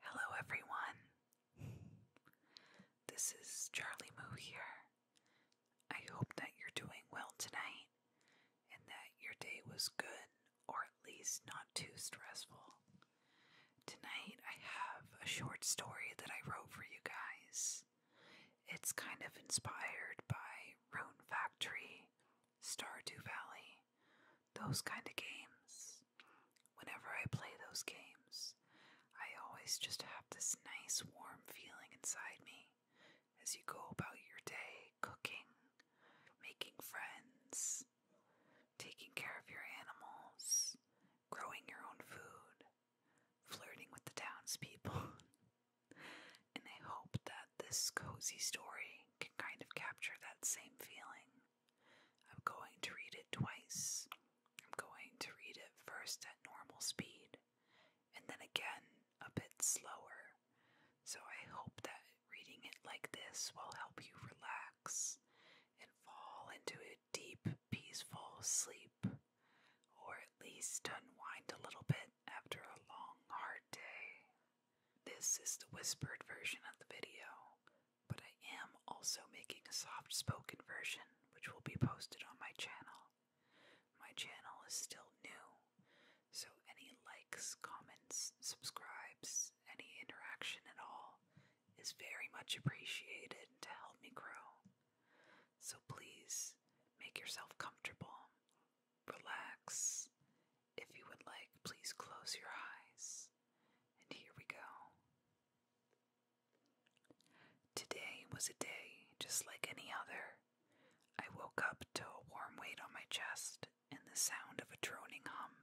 Hello, everyone. This is Charlie Moo here. I hope that you're doing well tonight and that your day was good or at least not too stressful. Tonight, I have a short story that I wrote for you guys. It's kind of inspired by Roan Factory, Stardew Valley, those kind of games. Whenever I play those games, I always just have this nice warm feeling inside me as you go about your day cooking, making friends, taking care of your animals, growing your own food, flirting with the townspeople. and I hope that this cozy story can kind of capture that same feeling. I'm going to read it twice. I'm going to read it first at normal speed and then again a bit slower. So I hope that reading it like this will help you relax and fall into a deep, peaceful sleep, or at least unwind a little bit after a long, hard day. This is the whispered version of the video but I am also making a soft spoken version which will be posted on my channel. My channel is still new, so any likes, comments, subscribes, any interaction at all is very much appreciated to help me grow. So please make yourself comfortable, relax, if you would like, please close your eyes. And here we go. Today was a day just like any other. I woke up to a warm weight on my chest and the sound of a droning hum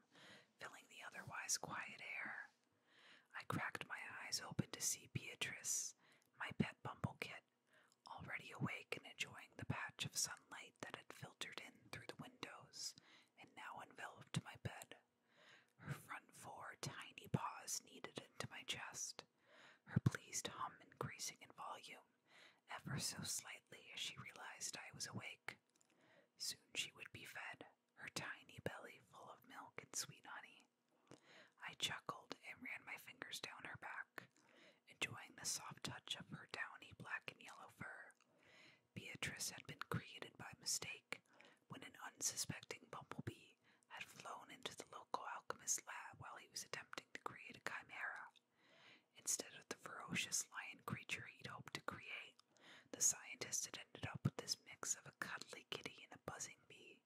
filling the otherwise quiet air. I cracked my eyes open to see Beatrice, my pet bumblekit, already awake and enjoying the patch of sunlight that had filtered in through the windows and now enveloped my bed. Her front four tiny paws kneaded into my chest, her pleased hum increasing in volume ever so slightly as she realized I was awake. Soon she would be fed, her tiny belly full of milk and sweet honey. I chuckled and ran my fingers down her back, enjoying the soft touch of her downy black and yellow fur. Beatrice had been created by mistake when an unsuspecting bumblebee had flown into the local alchemist's lab while he was attempting to create a chimera. Instead of the ferocious lion creature he'd hoped to create, the scientist had ended up with this mix of a cuddly kitty and a buzzing bee.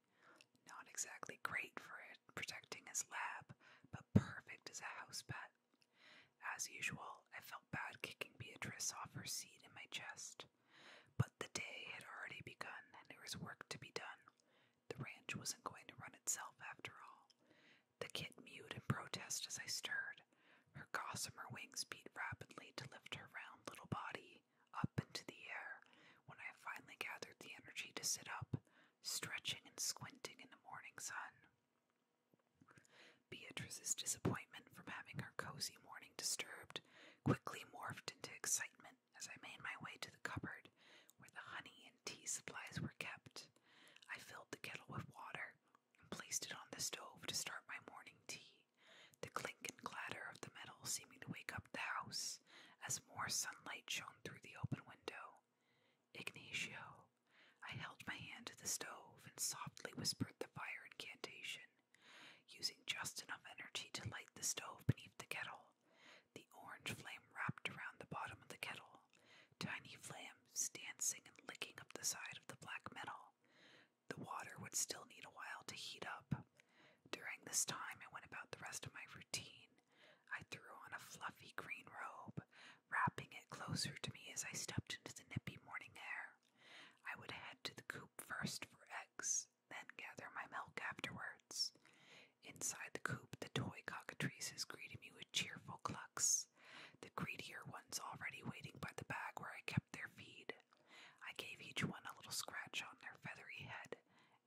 Not exactly great for protecting his lab, but perfect as a house pet. As usual, I felt bad kicking Beatrice off her seat in my chest. But the day had already begun, and there was work to be done. The ranch wasn't going to run itself, after all. The kit mewed in protest as I stirred. Her gossamer wings beat rapidly to lift her round little body up into the air when I finally gathered the energy to sit up, stretching and squinting in the morning sun. Beatrice's disappointment from having her cozy morning disturbed quickly morphed into excitement as I made my way to the cupboard where the honey and tea supplies were kept. I filled the kettle with water and placed it on the stove to start my morning tea, the clink and clatter of the metal seeming to wake up the house as more sunlight shone through the open window. Ignacio, I held my hand to the stove and softly whispered the fire incantation, using just enough energy to light the stove beneath the kettle. The orange flame wrapped around the bottom of the kettle, tiny flames dancing and licking up the side of the black metal. The water would still need a while to heat up. During this time, I went about the rest of my routine. I threw on a fluffy green robe, wrapping it closer to me as I stepped into the nippy morning air. I would head to the coop first for eggs, then gather my milk afterwards. Inside the coop, the toy cockatrices greeted me with cheerful clucks, the greedier ones already waiting by the bag where I kept their feed. I gave each one a little scratch on their feathery head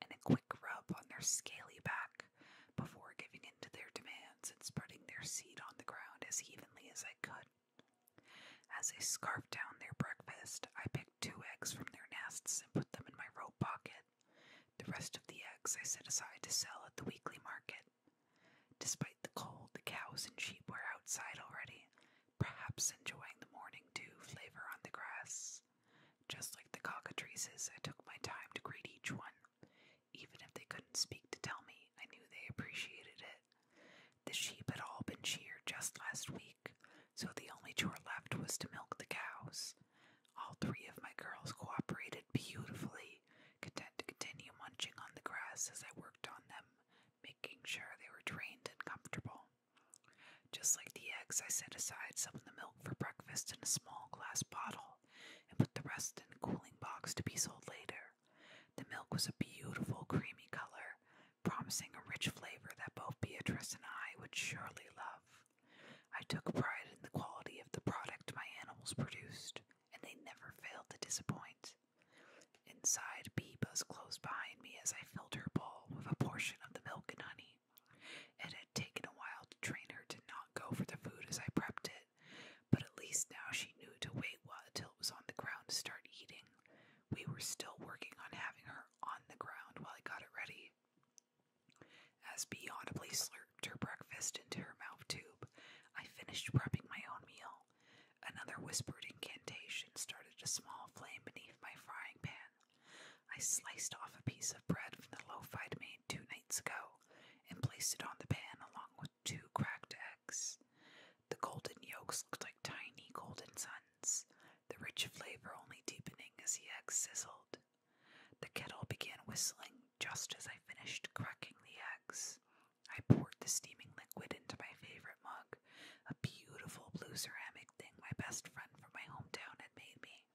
and a quick rub on their scaly back before giving in to their demands and spreading their seed on the ground as evenly as I could. As I scarfed down their breakfast, I picked two eggs from their nests and put them in my rope pocket. The rest of the eggs I set aside to sell at the weekly market. Despite the cold, the cows and sheep were outside already, perhaps enjoying the morning dew flavor on the grass. Just like the cockatrices, I took my time to greet each one. Even if they couldn't speak to tell me, I knew they appreciated it. The sheep had all been sheared just last week, so the only chore left was to milk the cows. All three of my girls cooperated beautifully, content to continue munching on the grass as I worked on them, making sure they were trained and comfortable. Just like the eggs, I set aside some of the milk for breakfast in a small glass bottle and put the rest in a cooling box to be sold later. The milk was a beautiful, creamy color, promising a rich flavor that both Beatrice and I would surely love. I took pride in the quality of the product my animals produced, and they never failed to disappoint. Inside, Bee buzz close behind me as I filled her bowl with a portion of the milk and honey. It had taken a while to train her to not go for the food as I prepped it, but at least now she knew to wait until it was on the ground to start eating. We were still working on having her on the ground while I got it ready. As Bee audibly slurped her breakfast into her mouth tube, I finished prepping my own meal. Another whispered incantation started a small flame beneath my frying pan. I sliced off a piece of bread from the loaf I'd made two nights ago and placed it on the pan along with two cracked eggs. The golden yolks looked like tiny golden suns, the rich flavor only deepening as the eggs sizzled. The kettle began whistling just as I finished cracking the eggs. I poured the steaming liquid into my favorite mug, a beautiful blue ceramic thing my best friend from my hometown had made me,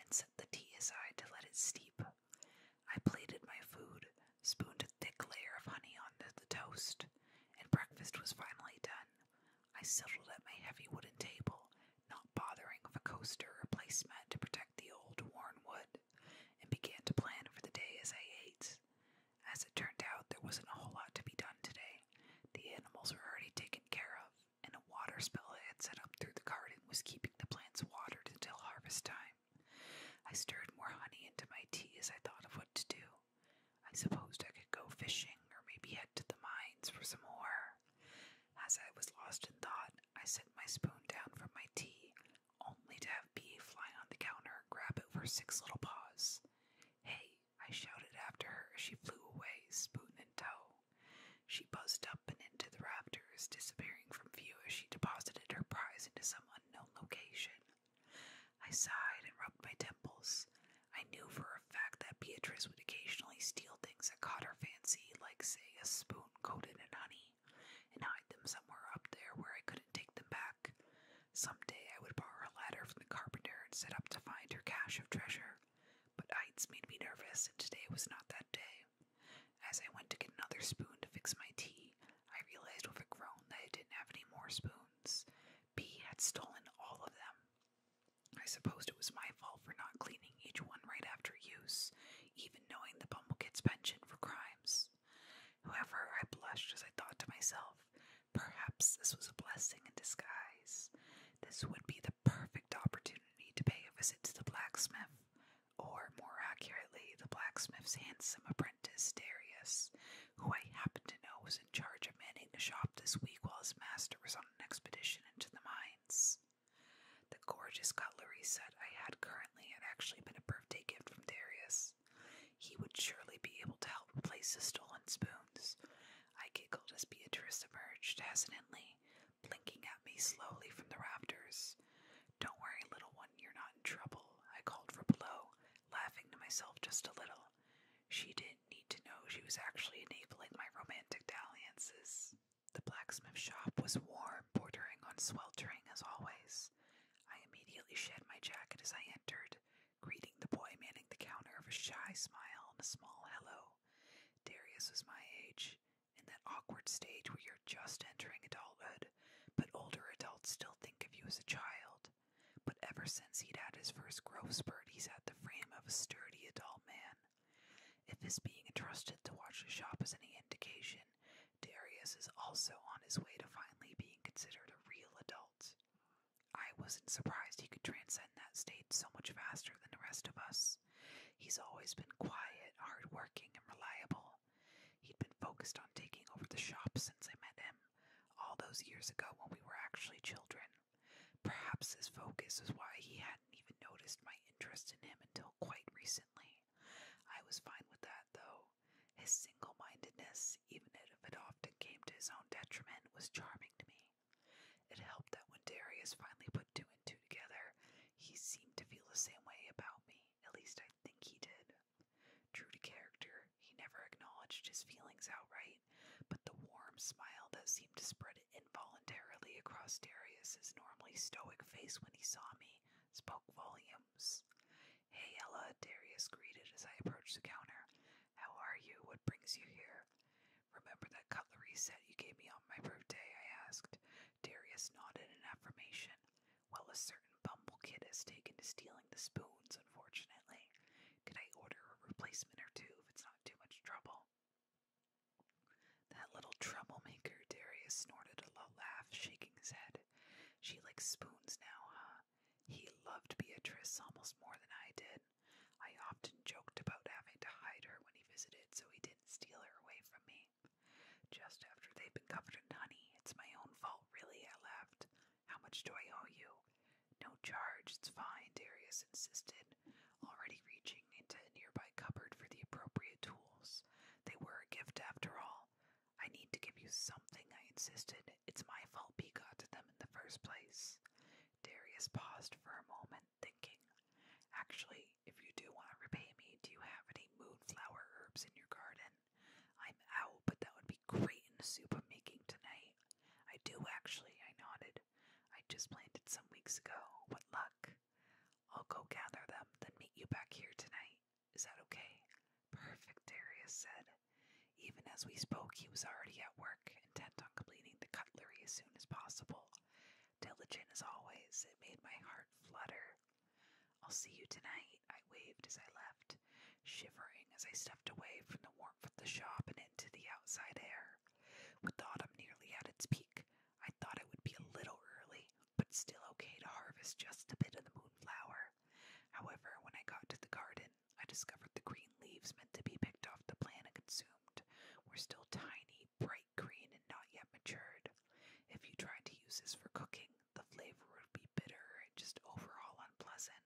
and set the tea aside to let it steep. I plated my food, spooned a thick layer of honey onto the toast, and breakfast was finally done. I settled at my heavy wooden table, not bothering with a coaster or placemat to protect the old worn wood, and began to plan for the day as I ate. As it turned out, there wasn't a whole lot to be done today. The animals were already taken care of, and a water spill I had set up through the garden was keeping the plants watered until harvest time. I stirred more honey into my tea as I thought of what to do. I supposed I could go fishing or maybe head to the mines for some more. As I was lost in thought, I set my spoon down from my tea, only to have Bee fly on the counter and grab it with six little paws. Hey, I shouted after her as she flew away, spoon in tow. She buzzed up and into the rafters, disappearing from view as she deposited her prize into some unknown location. I sighed and rubbed my temples. I knew for a fact that Beatrice would occasionally steal things that caught her fancy, like, say, a spoon coated in honey, and hide them somewhere up there where I couldn't take them back. Someday I would borrow a ladder from the carpenter and set up to find her cache of treasure. But heights made me nervous, and today was not that day. As I went to get another spoon to fix my tea, I realized with a groan that I didn't have any more spoons. B had stolen all of them. I supposed it was my fault for not cleaning each one right after use, even knowing the Bumblekids' penchant for crimes. However, I blushed as I thought to myself, perhaps this was a blessing in disguise. This would be the perfect opportunity to pay a visit to the blacksmith, or more accurately, the blacksmith's handsome apprentice. To Darius, who I happened to know was in charge of manning the shop this week while his master was on an expedition into the mines. The gorgeous cutlery set I had currently had actually been a birthday gift from Darius. He would surely be able to help replace the stolen spoons. I giggled as Beatrice emerged hesitantly, blinking at me slowly from the rafters. Don't worry, little one, you're not in trouble, I called from below, laughing to myself just a little. She didn't need to know she was actually enabling my romantic dalliances. The blacksmith shop was warm, bordering on sweltering as always. I immediately shed my jacket as I entered, greeting the boy manning the counter with a shy smile and a small hello. Darius was my age, in that awkward stage where you're just entering adulthood, but older adults still think of you as a child. But ever since he'd had his first growth spurt, he's had the frame of a sturdy adult man. If his being entrusted to watch the shop is any indication, Darius is also on his way to finally being considered a real adult. I wasn't surprised he could transcend that state so much faster than the rest of us. He's always been quiet, hardworking, and reliable He'd been focused on taking over the shop since I met him, all those years ago when we were actually children. Perhaps his focus was why he hadn't even noticed my interest in him until quite recently. I was fine with that, though. His single mindedness, even if it often came to his own detriment, was charming to me. It helped that when Darius finally put two and two together, he seemed to feel the same way about me. At least I think he did. True to character, he never acknowledged his feelings outright, but the warm smile that seemed to spread involuntarily across Darius's normally stoic face when he saw me spoke volumes. Hey, Ella, Darius greeted as I approached the counter. How are you? What brings you here? Remember that cutlery set you gave me on my birthday? I asked. Darius nodded in affirmation. Well, a certain bumble kid has taken to stealing the spoons, unfortunately. Could I order a replacement or two if it's not too much trouble? That little troublemaker, Darius snorted a low laugh, shaking his head. She likes spoons now, huh? He loved Beatrice almost more than I did. I often joked about having to hide her when he visited so he didn't steal her away from me. Just after they've been covered in honey, it's my own fault, really, I laughed. How much do I owe you? No charge, it's fine, Darius insisted, already reaching into a nearby cupboard for the appropriate tools. They were a gift after all. I need to give you something, I insisted. It's my fault P got them in the first place. Darius paused for a moment, thinking. Actually, if you do want to repay me, do you have any moonflower herbs in your garden? I'm out, but that would be great in the soup I'm making tonight. I do actually, I nodded. I just planted some weeks ago. What luck. I'll go gather them, then meet you back here tonight. Is that okay? Perfect, Darius said. Even as we spoke, he was already at work, intent on completing the cutlery as soon as possible. Diligent as always, it made my heart flutter I'll see you tonight, I waved as I left, shivering as I stepped away from the warmth of the shop and into the outside air. With autumn nearly at its peak, I thought it would be a little early, but still okay to harvest just a bit of the moonflower. However, when I got to the garden, I discovered the green leaves meant to be picked off the plant and consumed were still tiny, bright green, and not yet matured. If you tried to use this for cooking, the flavor would be bitter and just overall unpleasant.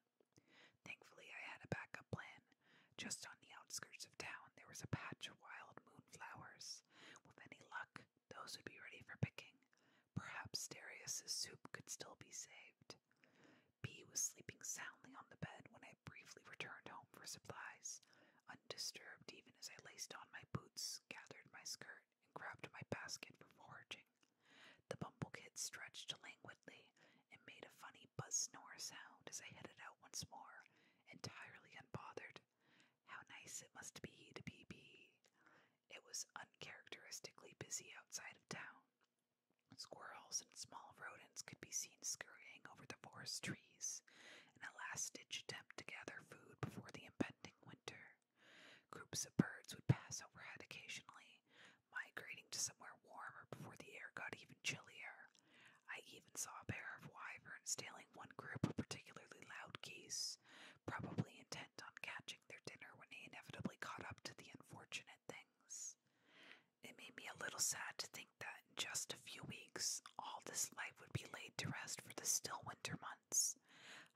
Thankfully, I had a backup plan. Just on the outskirts of town, there was a patch of wild moonflowers. With any luck, those would be ready for picking. Perhaps Darius's soup could still be saved. B was sleeping soundly on the bed when I briefly returned home for supplies. Undisturbed even as I laced on my boots, gathered my skirt, and grabbed my basket for foraging. The bumble kid stretched languidly and made a funny buzz snore sound as I headed out once more, entirely unbothered. How nice it must be to be bee. It was uncharacteristically busy outside of town. Squirrels and small rodents could be seen scurrying over the forest trees in a last ditch attempt to gather food before the impending winter winter. Groups of birds would pass overhead occasionally, migrating to somewhere warmer before the air got even chillier. I even saw a pair of wyverns tailing one group of particularly loud geese, probably intent on catching their dinner when they inevitably caught up to the unfortunate things. It made me a little sad to think that in just a few weeks, all this life would be laid to rest for the still winter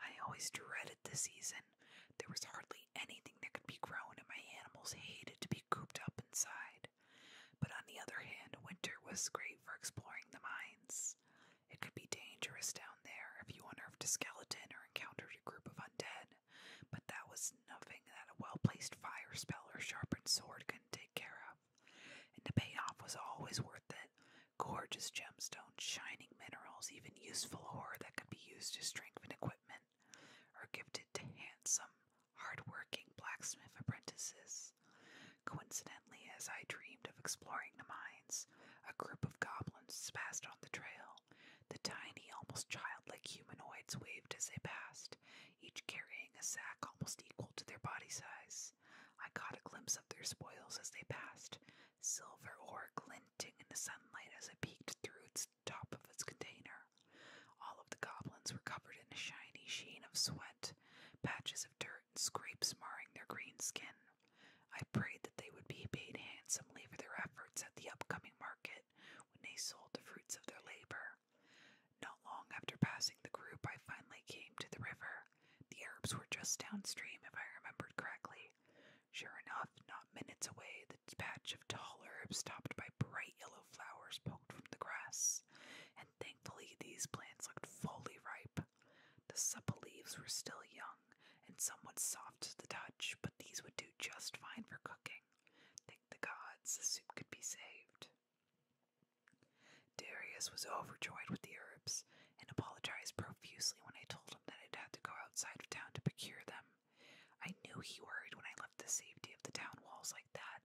I always dreaded the season. There was hardly anything that could be grown, and my animals hated to be cooped up inside. But on the other hand, winter was great for exploring the mines. It could be dangerous down there if you unearthed a skeleton or encountered a group of undead, but that was nothing that a well placed fire spell or sharpened sword couldn't take care of. And the payoff was always worth it, gorgeous gemstones, shining minerals, even useful ore that could be used to strengthen equipment, are gifted to handsome, hardworking blacksmith apprentices. Coincidentally, as I dreamed of exploring the mines, a group of goblins passed on the trail. The tiny, almost childlike humanoids waved as they passed, each carrying a sack almost equal to their body size. I caught a glimpse of their spoils as they passed, silver ore glinting in the sunlight as it peeked through its top of its container. All of the goblins were covered in a shiny sheen of sweat, patches of dirt, and scrapes marring their green skin. I prayed that they would be paid handsomely for their efforts at the upcoming market when they sold the fruits of their labor. Not long after passing the group, I finally came to the river. The herbs were just downstream, if I remembered correctly. Sure enough, not minutes away, the patch of tall herbs topped by bright yellow flowers poked from the grass, and thankfully these plants looked fully ripe. The supple leaves were still young and somewhat soft to the touch, but these would do just fine for cooking. Thank the gods, the soup could be saved. Darius was overjoyed with the herbs, and apologized profusely when I told him that i had to go outside of town to procure them. I knew he worried when I left the safety of the town walls like that,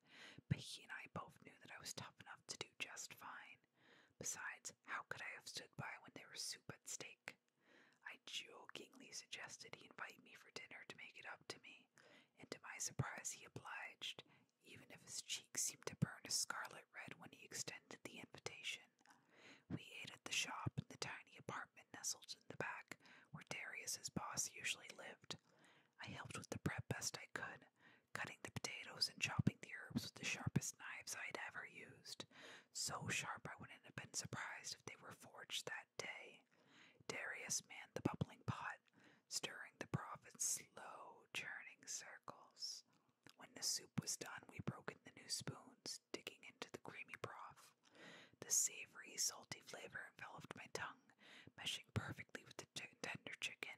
but he and I both knew that I was tough enough to do just fine. Besides, how could I have stood by when there was soup at stake? I jokingly suggested he invite me for dinner to make it up to me, and to my surprise, he obliged, even if his cheeks seemed to burn a scarlet red when he extended the invitation. We ate at the shop in the tiny apartment nestled in the back where Darius's boss usually lived. I helped with the prep best I could, cutting the potatoes and chopping the herbs with the sharpest knives I'd ever used, so sharp I wouldn't have been surprised if they were forged that day. Darius manned the bubbling pot, stirring the broth in slow, churning circles. When the soup was done, we broke in the new spoons, digging into the creamy broth. The savory, salty flavor enveloped my tongue, meshing perfectly with the tender chicken,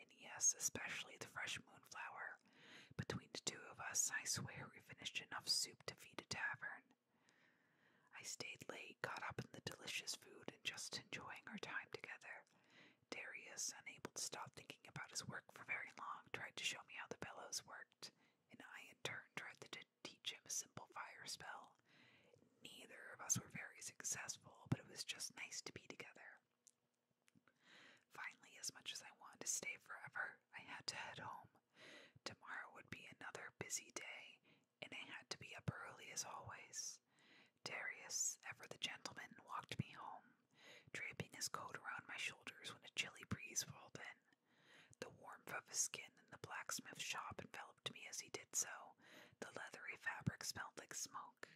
and yes, especially the fresh moonflower. Between the two of us, I swear we finished enough soup to feed a tavern. I stayed late, caught up in the delicious food, and just enjoying our time together. Darius, unable to stop thinking about his work for very long, tried to show me how the bellows worked and I in turn tried to teach him a simple fire spell. Neither of us were very successful, but it was just nice to be together. Finally, as much as I wanted to stay forever, I had to head home. Tomorrow would be another busy day, and I had to be up early as always. Darius, ever the gentleman, walked me home, draping his coat around my shoulders when a chilly breeze rolled in. The warmth of his skin in the blacksmith shop enveloped me as he did so. The leathery fabric smelled like smoke.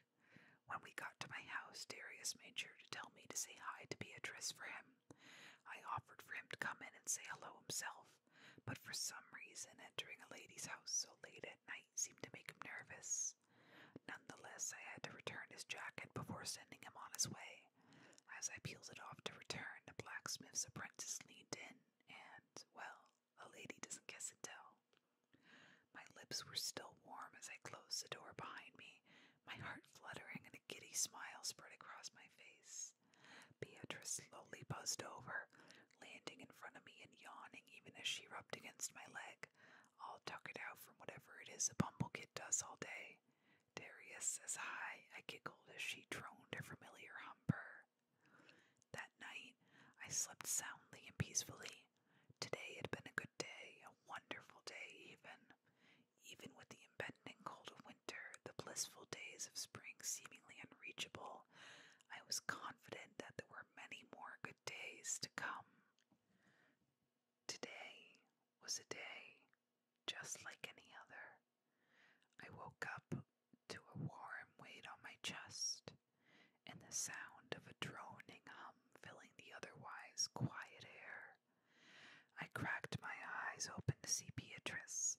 When we got to my house, Darius made sure to tell me to say hi to Beatrice for him. I offered for him to come in and say hello himself, but for some reason, entering a lady's house so late at night seemed to make him nervous. Nonetheless, I had to return his jacket before sending him on his way. As I peeled it off to return, the blacksmith's apprentice leaned in, and, well, a lady doesn't guess and tell. My lips were still warm as I closed the door behind me, my heart fluttering and a giddy smile spread across my face. Beatrice slowly buzzed over, landing in front of me and yawning even as she rubbed against my leg, all tuckered out from whatever it is a bumblekid does all day. Darius says hi. I giggled as she droned her familiar humper. That night, I slept soundly and peacefully. Today had been a good day, a wonderful day, even. Even with the impending cold of winter, the blissful days of spring seemingly unreachable, I was confident that there were many more good days to come. Today was a day just like any other. I woke up to a warm weight on my chest and the sound of a droning hum filling the otherwise quiet air. I cracked my eyes open to see Beatrice,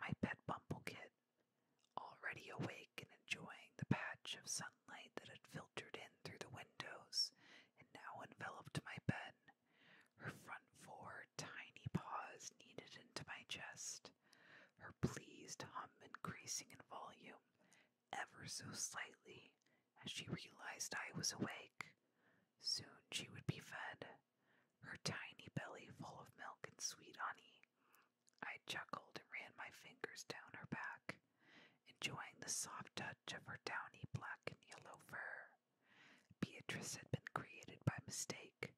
my pet bumblekit, already awake and enjoying the patch of sunlight that had filtered in through the windows and now enveloped my bed. Her front four tiny paws kneaded into my chest, her pleased hum increasing in volume ever so slightly as she realized I was awake. Soon she would be fed, her tiny belly full of milk and sweet honey. I chuckled and ran my fingers down her back, enjoying the soft touch of her downy black and yellow fur. Beatrice had been created by mistake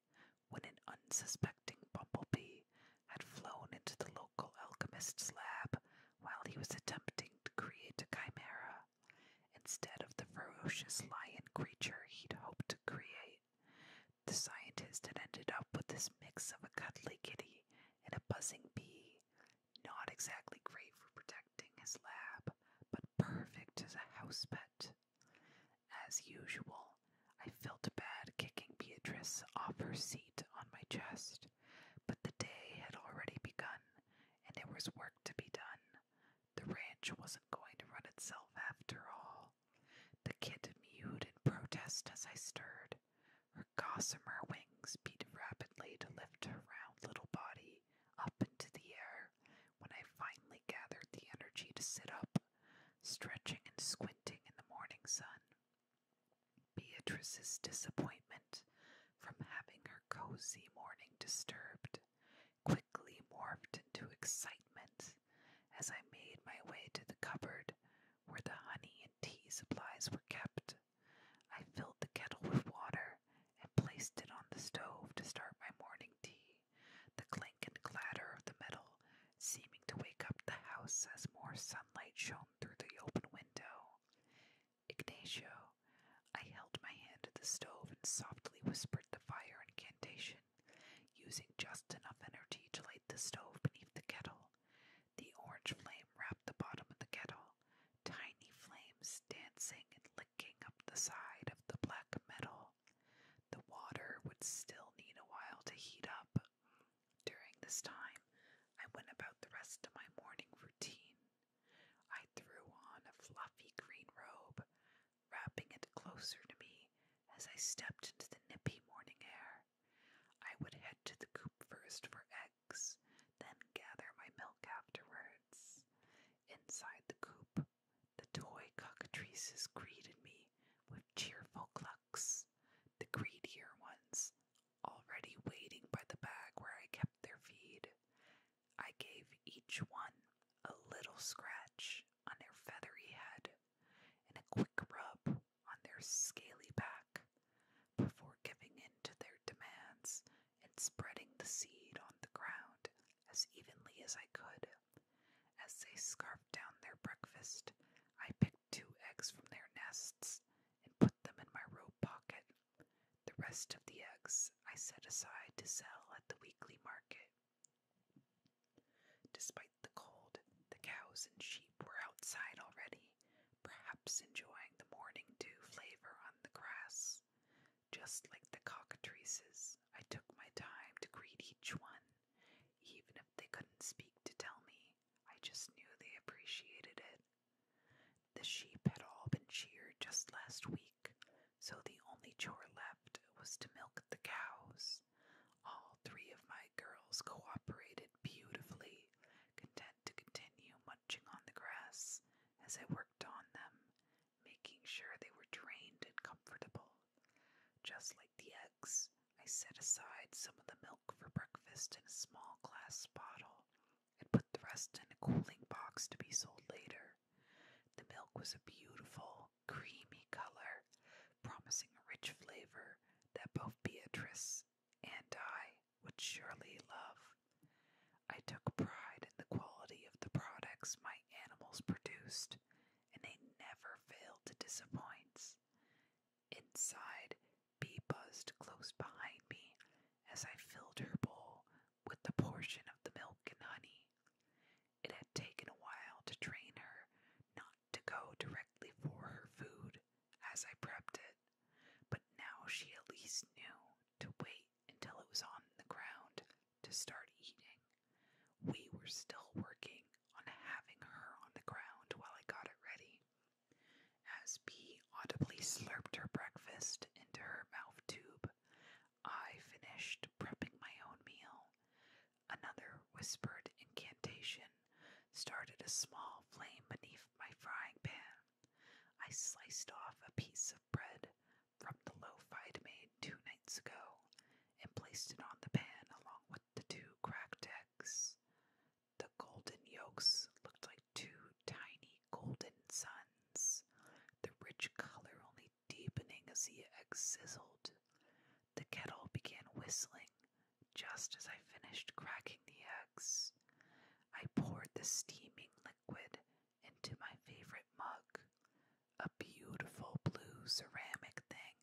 when an unsuspecting bumblebee had flown into the local alchemist's lab while he was attempting to create a chimera instead of the ferocious lion creature he'd hoped to create. The scientist had ended up with this mix of a cuddly kitty and a buzzing bee, not exactly great for protection protecting his lab, but perfect as a house pet. As usual, I felt bad kicking Beatrice off her seat on my chest, but the day had already begun, and there was work to be done. The ranch wasn't going to run itself after all. The kid mewed in protest as I stirred. Her gossamer wings beat rapidly to lift her round little body up into the air when I finally gathered the energy to sit up, stretching and squinting in the morning sun. Beatrice's disappointment from having her cozy morning disturbed quickly morphed into excitement as I made my way to the cupboard where the honey and tea supplies were kept. I filled the kettle with water and placed it on the stove to start my morning tea, the clink and clatter of the metal seeming to wake up the house as more sunlight shone through the open window. Ignacio, I held my hand to the stove and softly whispered the fire incantation, using just enough energy to light the stove beneath the kettle. The orange flame wrapped the bottom of the kettle, tiny flames dancing and licking up the side of the black metal. The water would still need a while to heat up. During this time, I went about the rest of my morning routine. I threw on a fluffy green robe, wrapping it closer to me as I stepped into the nippy morning air. I would head to the coop first for eggs, then gather my milk milk afterwards. Inside the coop, the toy cockatrices greeted me with cheerful clucks, the greedier ones already waiting by the bag where I kept their feed. I gave each one a little scratch on their feathery head and a quick rub on their scaly back before giving in to their demands and spreading the seed on the ground as evenly as I could. As they scarfed down their breakfast, I picked two eggs from their nests and put them in my robe pocket. The rest of the eggs I set aside to sell at the weekly market. Despite the cold, the cows and sheep were outside already, perhaps enjoying the morning dew flavor on the grass. Just like the cockatrices, I took my time to greet each one. Even if they couldn't speak to tell me, I just knew they appreciated it. The sheep had all been sheared just last week, so the only chore left was to milk the cows. All three of my girls cooperated beautifully, content to continue munching on the grass as I worked on them, making sure they were drained and comfortable. Just like the eggs, I set aside some of the milk for breakfast in a small glass bottle and put the rest in a cooling box to be sold later. The milk was a beautiful, creamy color, promising a rich flavor that both Beatrice and I would surely love. I took pride in the quality of the products my animals produced, and they never failed to disappoint. Inside, Bee buzzed close behind me as I filled her bowl with the portion of the milk and honey. It had taken a while to train her not to go directly for her food as I prepped it, but now she at least knew to wait until it was on the ground to start eating. We were still working on having her on the ground while I got it ready. As Bee audibly slurped her breakfast into her mouth tube, I finished prepping my own meal. Another whispered incantation started a small flame beneath my frying pan. I sliced off a piece of bread from the loaf I'd made two nights ago and placed it on the pan along with the two cracked eggs. The golden yolks looked like two tiny golden suns, the rich color only deepening as the eggs sizzled. The kettle began whistling just as I finished cracking the eggs. I poured the steaming liquid into my favorite mug, a beautiful blue ceramic thing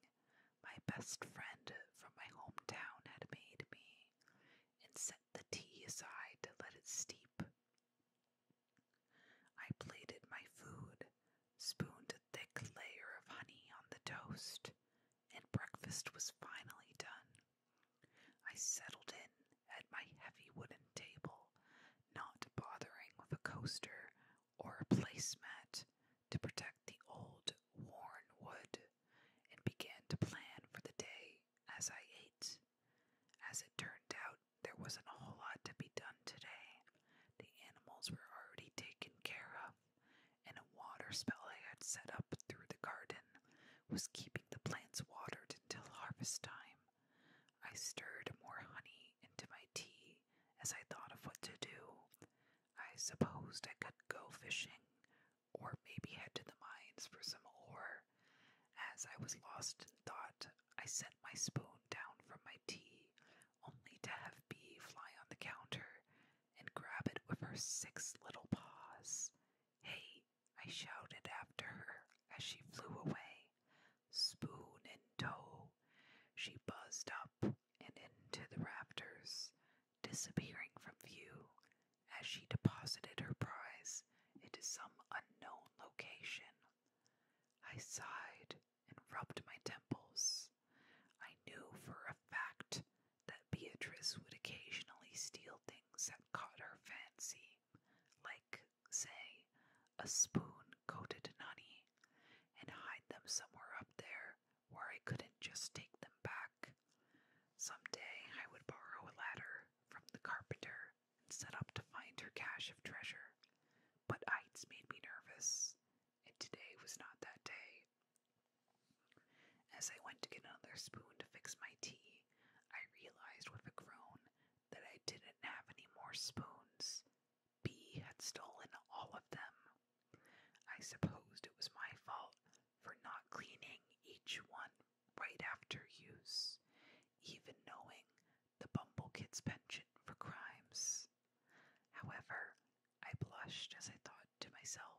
my best friend from my hometown had made me, and set the tea aside to let it steep. I plated my food, spooned a thick layer of honey on the toast, and breakfast was finally done. I settled in at my heavy wooden table, not bothering with a coaster or a placemat to protect the old, worn wood, and began to plan for the day as I ate. As it turned out, there wasn't a whole lot to be done today. The animals were already taken care of, and a water spell I had set up through the garden was keeping the plants watered until harvest time. I stirred more honey into my tea as I thought of what to do. I supposed I could go fishing, or maybe head to the mines for some ore. As I was lost in thought, I sent my spoon down from my tea, only to have Bee fly on the counter and grab it with her six little paws. Hey, I shouted after her as she flew away, spoon in tow. She buzzed up and into the rafters, disappearing from view as she deposited her prize into some unknown location. I sighed and rubbed my temples. I knew for a fact that Beatrice would occasionally steal things that caught her fancy, like say, a spoon coated honey, and hide them somewhere up there where I couldn't just take them back. Someday I would borrow a ladder from the carpenter and set up to find her cache of treasure. But heights made me nervous, and today was not that day. As I went to get another spoon to fix my tea, I realized with a groan that I didn't have any more spoons. B had stolen all of them. I supposed it was my fault for not cleaning each one right after use, even knowing the Bumble Kid's penchant for crimes. However, I blushed as I thought to myself,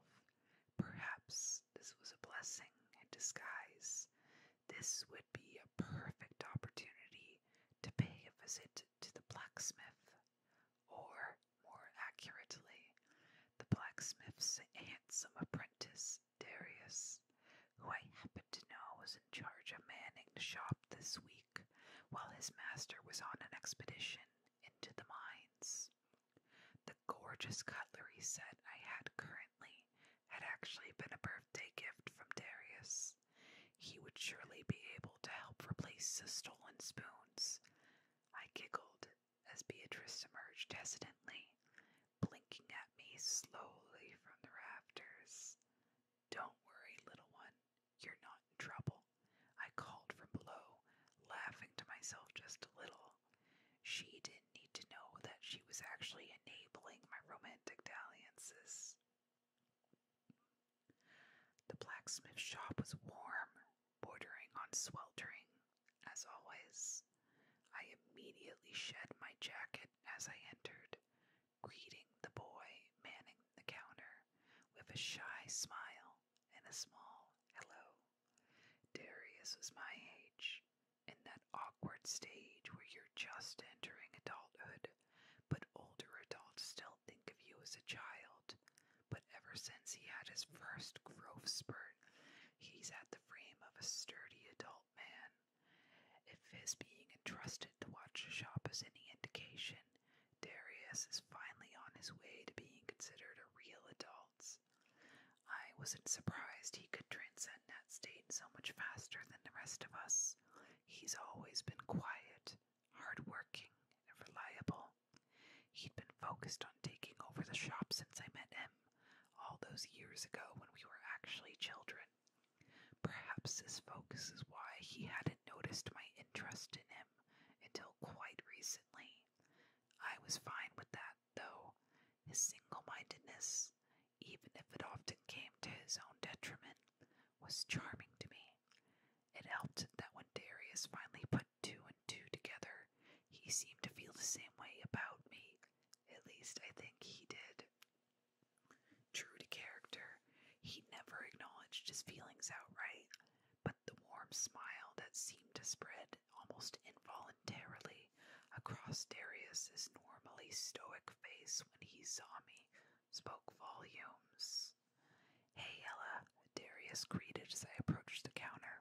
perhaps this was a blessing in disguise, this would be a perfect opportunity to pay a visit to the blacksmith, or more accurately, the blacksmith's handsome apprentice, Darius, who I happened to know was in charge of manning the shop this week while his master was on an expedition into the mines. The gorgeous cutlery set I had currently had actually been a birthday gift from Darius. He would surely be able to help replace the stolen spoons. I giggled as Beatrice emerged hesitantly, blinking at me slowly from the rafters. Don't worry, little one, you're not in trouble, I called from below, laughing to myself just a little. She did didn't need to know that she was actually enabling my romantic dalliances. The blacksmith shop was warm, bordering on sweltering, as always. I immediately shed my jacket as I entered, greeting the boy manning the counter with a shy smile and a small hello. Darius was my age, in that awkward stage where you're just entering adulthood, but older adults still think of you as a child. But ever since he had his first growth spurt, he's at the frame of a sturdy adult man. If his being entrusted to watch a shop is any indication, Darius is finally on his way to being considered a real adult. I wasn't surprised he could transcend that state so much faster than the rest of us. He's always been quiet, hardworking, and reliable. He'd been focused on taking over the shop since I met him, all those years ago when we were actually children. Perhaps his focus is why he hadn't noticed my interest in him until quite recently. I was fine with that, though. His single mindedness, even if it often came to his own detriment, was charming to me. It helped that when Darius finally put two and two together, he seemed to feel the same way about me. At least I think he did. True to character, he never acknowledged his feelings outright, but the warm smile that seemed to spread almost involuntarily across Darius's normally stoic face when he saw me spoke volumes. Hey, Ella, Darius greeted as I approached the counter.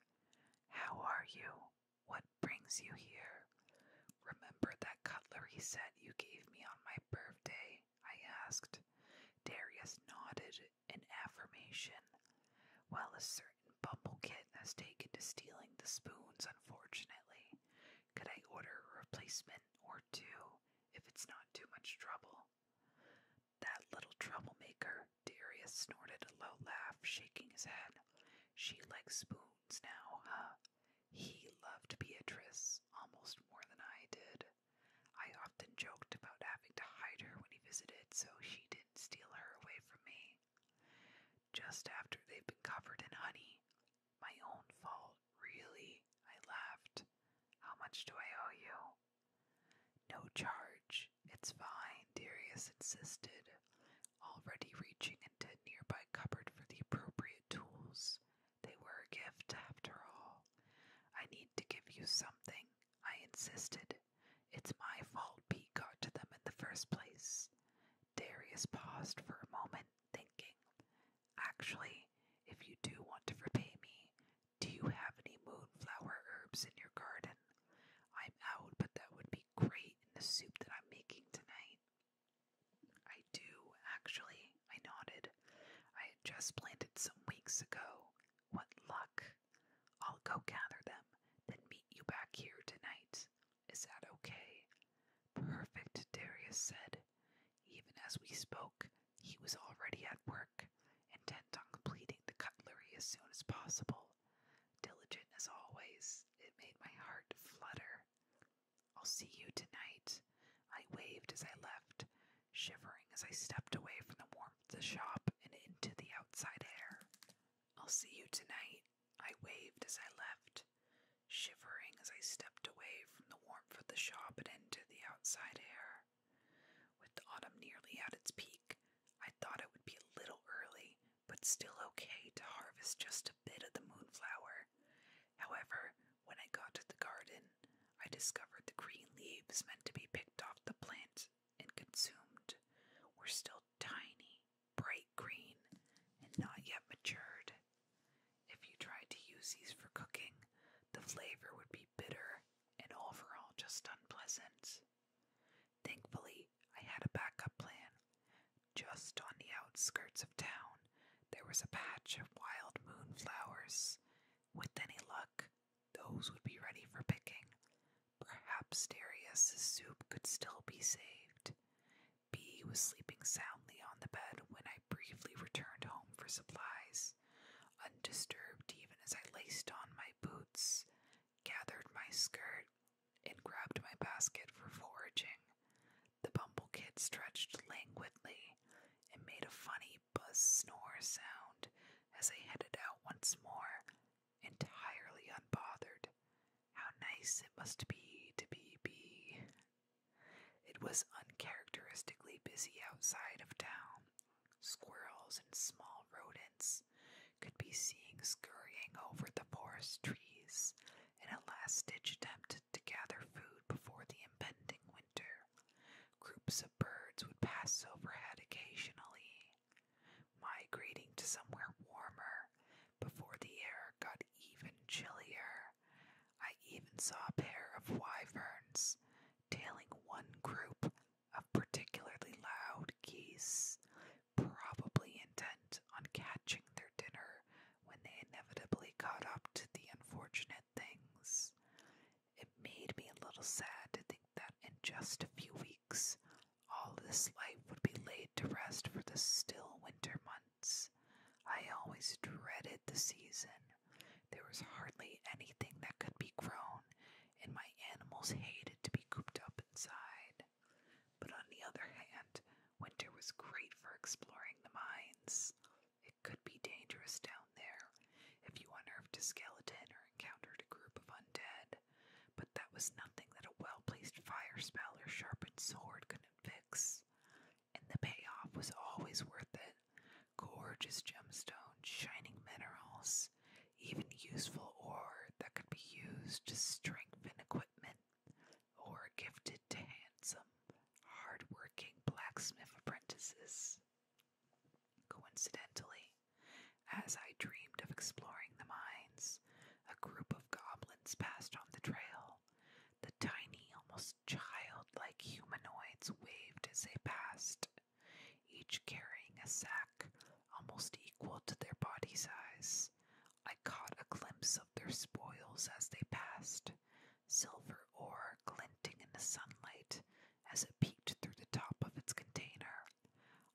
How are you? What brings you here? Remember that cutlery set you gave me on my birthday? I asked. Darius nodded in affirmation. Well, a certain bumbleclit has taken to stealing the spoons, unfortunately. Could I order a replacement or two if it's not too much trouble? That little troublemaker, Darius snorted a low laugh, shaking his head. She likes spoons now, He loved Beatrice almost more than I did. I often joked about having to hide her when he visited so she didn't steal her away from me. Just after they've been covered in honey, my own fault, really, I laughed. How much do I owe you? No charge. It's fine, Darius insisted, already reaching into a nearby cupboard for the appropriate tools. They were a gift, after all. I need to give you something, I insisted. It's my fault Pete got to them in the first place. Darius paused for a moment, thinking, Actually, if you do want to repay me, do you have any moonflower herbs in your garden? I'm out, but that would be great in the soup that I'm making tonight. I do, actually, I nodded. I had just planted some weeks ago. What luck! I'll go gather them, then meet you back here tonight. Is that okay? Perfect, Darius said. Even as we spoke, he was already at work, intent on completing the cutlery as soon as possible. Diligent as always, it made my heart flutter. I'll see you tonight, I waved as I left, shivering as I stepped away from the warmth of the shop and into the outside air. I'll see you tonight, I waved as I left, shivering as I stepped away from the warmth of the shop and into the outside air. With autumn nearly at its peak, I thought it would be a little early, but still okay to harvest just a bit of the moonflower. However, when I got to the garden, I discovered the green leaves meant to be picked off the plant and consumed were still tiny bright green and not yet matured. If you tried to use these for cooking, the flavor would be bitter and overall just unpleasant. Thankfully, I had a backup plan. Just on the outskirts of town, there was a patch of wild moonflowers. With any luck, those would be ready for picking. Perhaps Darius's soup could still be saved. B was sleeping soundly on the bed when I briefly returned home for supplies, undisturbed even as I laced on my boots, gathered my skirt, and grabbed my basket for foraging. The bumble kid stretched languidly and made a funny buzz snore sound as I headed out once more, entirely unbothered. How nice it must be to be bee. It was uncharacteristically busy outside of town. Squirrels and small rodents could be seen scurrying over the forest trees in a last ditch attempt to gather food before the impending winter. Groups of birds would pass overhead occasionally, migrating to somewhere warmer before the air got even chillier, I even saw a pair of wyverns tailing one group of particularly loud geese, probably intent on catching their dinner when they inevitably caught up to the unfortunate things. It made me a little sad to think that in just a few weeks, all this life would be laid to rest for the still winter I always dreaded the season. There was hardly anything that could be grown, and my animals hated to be cooped up inside. But on the other hand, winter was great for exploring the mines. It could be dangerous down there if you unearthed a skeleton or encountered a group of undead, but that was nothing that a well placed fire spell or sharpened sword couldn't fix and the payoff was always worth it. Gorgeous gemstones, shining minerals, even useful ore that could be used to strengthen equipment, or gifted to handsome, hardworking blacksmith apprentices. Coincidentally, as I dreamed of exploring the mines, a group of goblins passed on the trail. The tiny, almost childlike humanoids waved as they passed, each carrying a sack almost equal to their body size. I caught a glimpse of their spoils as they passed, silver ore glinting in the sunlight as it peeked through the top of its container.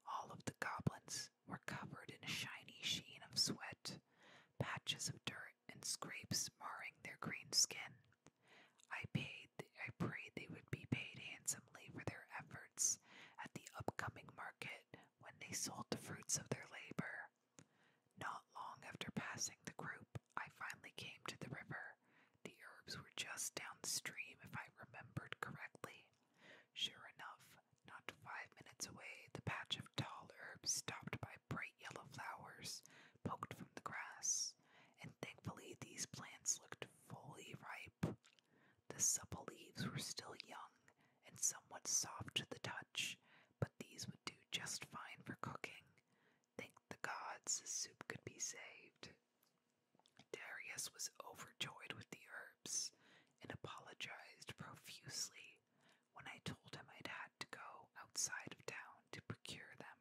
All of the goblins were covered in a shiny sheen of sweat patches of dirt and scrapes marring their green skin. I paid I prayed they would be paid handsomely for their efforts at the upcoming market when they sold the fruits of their labor. Not long after passing the group, I finally came to the river. The herbs were just downstream, if I remembered correctly. Sure enough, not five minutes away, the patch of tall herbs stopped by bright yellow flowers poked from the grass, and thankfully these plants looked fully ripe. The supple leaves were still young and somewhat soft to the touch, but these would do just fine for cooking. Thank the gods, the soup could be saved. Darius was overjoyed with the herbs and apologized profusely day when I told him I'd had to go outside of town to procure them.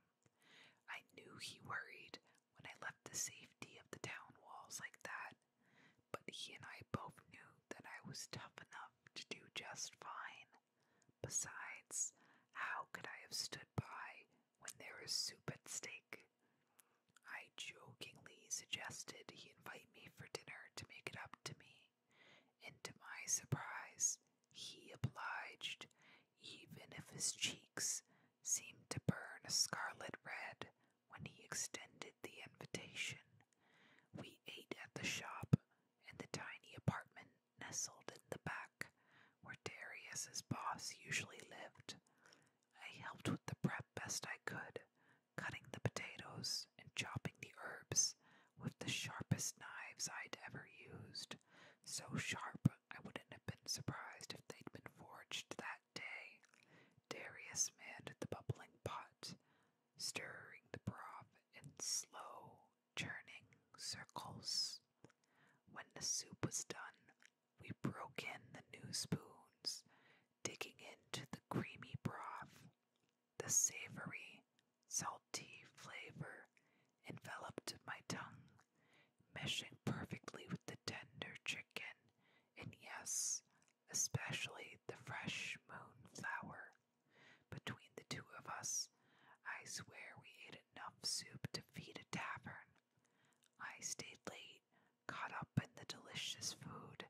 I knew he worried when I left the safety of the town walls like that, but he and I both knew that I was tough enough to do just fine. Besides, how could I have stood by when there was soup at stake? I jokingly suggested he invite me for dinner to make it up to me, and to my surprise, he obliged, even if his cheeks seemed to burn a scarlet red when he extended the invitation. We ate at the shop, in the tiny apartment nestled in the back where Darius's boss usually lived. I helped with the prep best I could, cutting the potatoes and chopping the herbs with the sharpest knives I'd ever used, so sharp I wouldn't have been surprised if they'd been forged that day. Darius manned the bubbling pot, stirring the broth in slow, churning circles. When the soup was done, we broke in the new spoons, digging into the creamy broth. The savory, salty flavor enveloped my tongue, meshing perfectly with the tender chicken, and yes, especially the fresh moonflower. Between the two of us, I swear we ate enough soup to feed a tavern. I stayed late, caught up in the delicious food,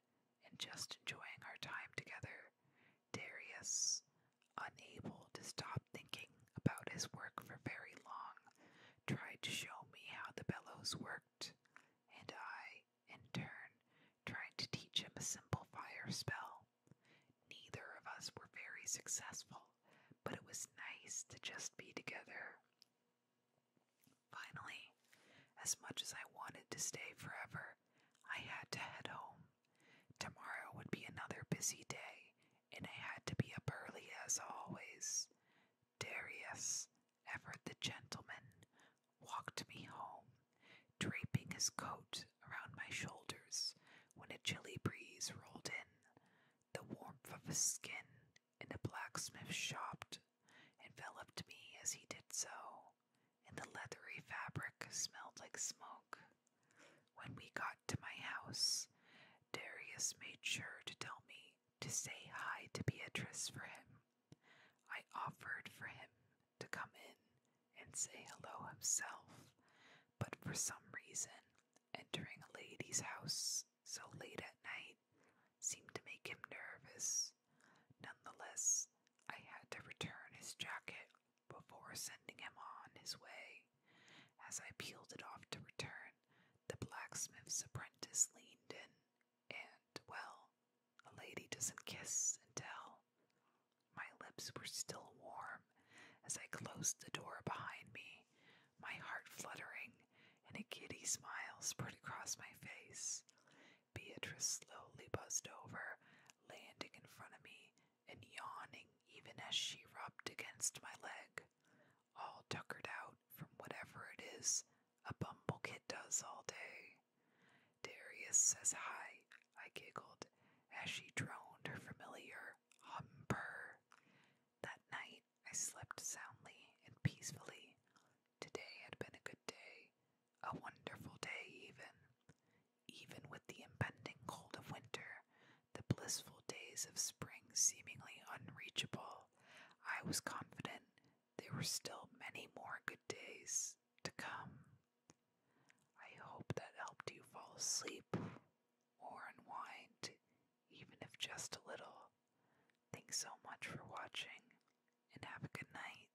and just enjoying our time together. Darius, unable to stop thinking about his work for very long, tried to show me how the bellows worked, and I, in turn, tried to teach him a simple fire spell. Neither of us were very successful, but it was nice to just be together. Finally, as much as I wanted to stay forever, I had to head home. Tomorrow would be another busy day, and I had to be up early as always. Darius, ever the gentleman, walked me home, draping his coat around my shoulders when a chilly breeze rolled in. The warmth of his skin in a blacksmith's shop enveloped me as he did so and the leathery fabric smelled like smoke. When we got to my house, Darius made sure to tell me to say hi to Beatrice for him. I offered for him to come in and say hello himself, but for some reason, entering a lady's house so late at night seemed to make him nervous. Nonetheless, I had to return his jacket before sending him on his way. As I peeled it off to return, the blacksmith's apprentice leaned in, and, well, a lady doesn't kiss and tell. My lips were still warm as I closed the door behind me, my heart fluttering, and a giddy smile spread across my face. Beatrice slowly buzzed over, landing in front of me and yawning even as she rubbed against my leg, all tuckered out from whatever it is a bumble does all day. Darius says hi, I giggled as she droned her familiar hum humper. That night I slept soundly and peacefully. Today had been a good day, a wonderful day, even. Even with the impending cold of winter, the blissful days of spring seemingly unreachable, I was confident there were still many more good days to come. I hope that helped you fall asleep or unwind, even if just a little. Thanks so much for watching, and have a good night.